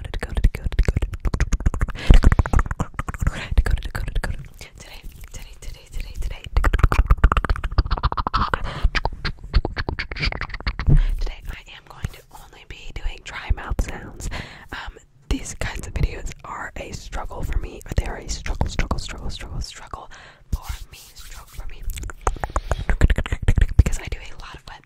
today, today, today, today, today, today, I am going to only be doing dry mouth sounds. Um, these kinds of videos are a struggle for me. They are a struggle, struggle, struggle, struggle, struggle for me, struggle for me, because I do a lot of wet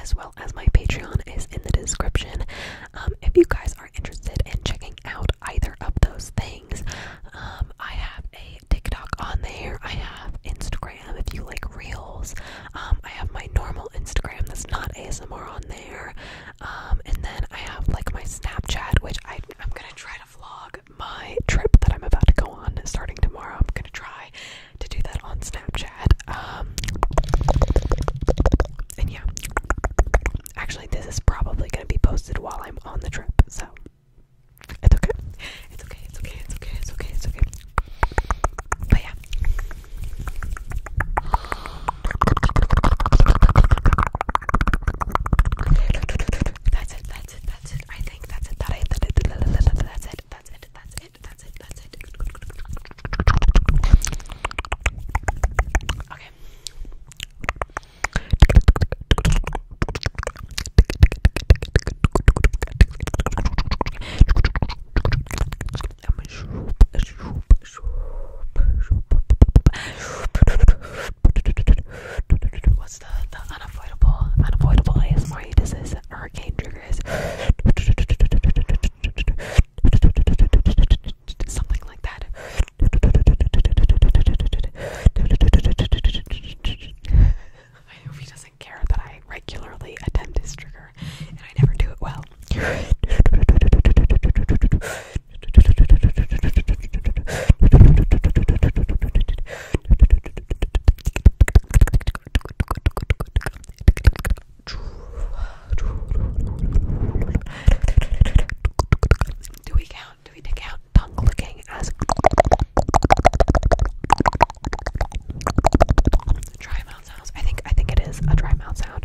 as well as my Patreon is in the description. Um, if you guys are interested in checking out either of those things, um, I have a TikTok on there. I have Instagram if you like reels. Um, I have my normal Instagram that's not ASMR on there. and then I have like my Snapchat, which I'm gonna try to vlog my trip that I'm about to go on starting tomorrow. I'm gonna try to do that on Snapchat. Um, and yeah, actually, this is probably going to be posted while I'm on the trip, so it's okay. It's okay. It's okay. It's okay. It's okay. It's okay. But yeah. That's it. That's it. That's it. I think that's it. That I, that, that, that's it. That's it it. That's it. That's it. That's it. Okay. I'm a shoop, a shoop, a shoop, a shoop the, unavoidable, unavoidable ASMR he does is hurricane triggers. Something like that. I hope he doesn't care that I regularly attempt his trigger and I never do it well. Do we count? Do we take out tongue licking as dry mouth sounds? I think I think it is a dry mouth sound.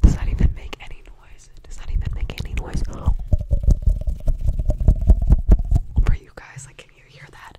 Does that even make any noise? Does that even make any noise? For you guys, like, can you hear that?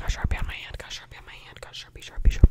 Got Sharpie on my hand, got Sharpie on my hand, got Sharpie, Sharpie, Sharpie.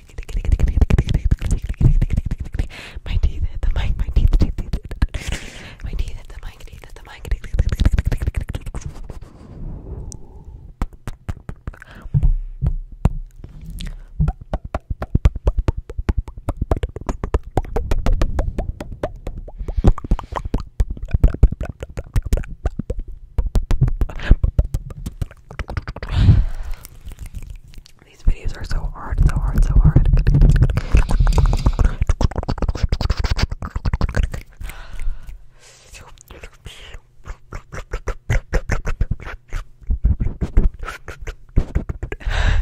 My teeth hit the mic, my teeth, teeth, teeth. My teeth hit the mic, teeth hit the mic. These videos are so hard, so hard, so hard.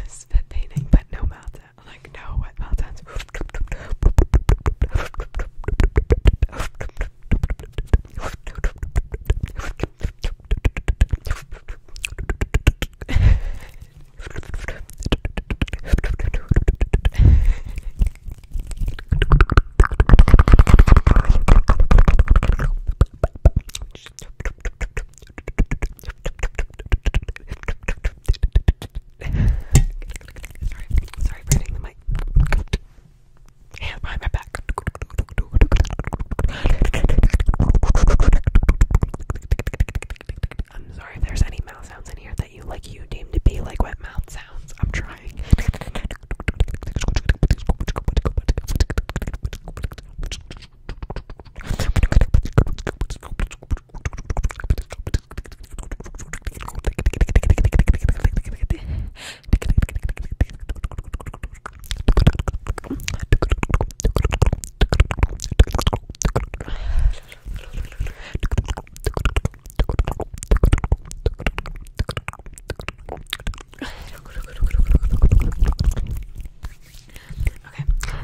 Spit painting, but no mouth Like, no wet Sorry, sorry for hitting the mic. Hands behind my back. I'm sorry if there's any mouth sounds in here that you like you deem to be like wet mouth sounds. I'm trying. Okay,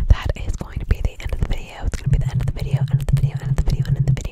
that is going to be the end of the video. It's going to be the end of the video, end of the video, end of the video, end of the video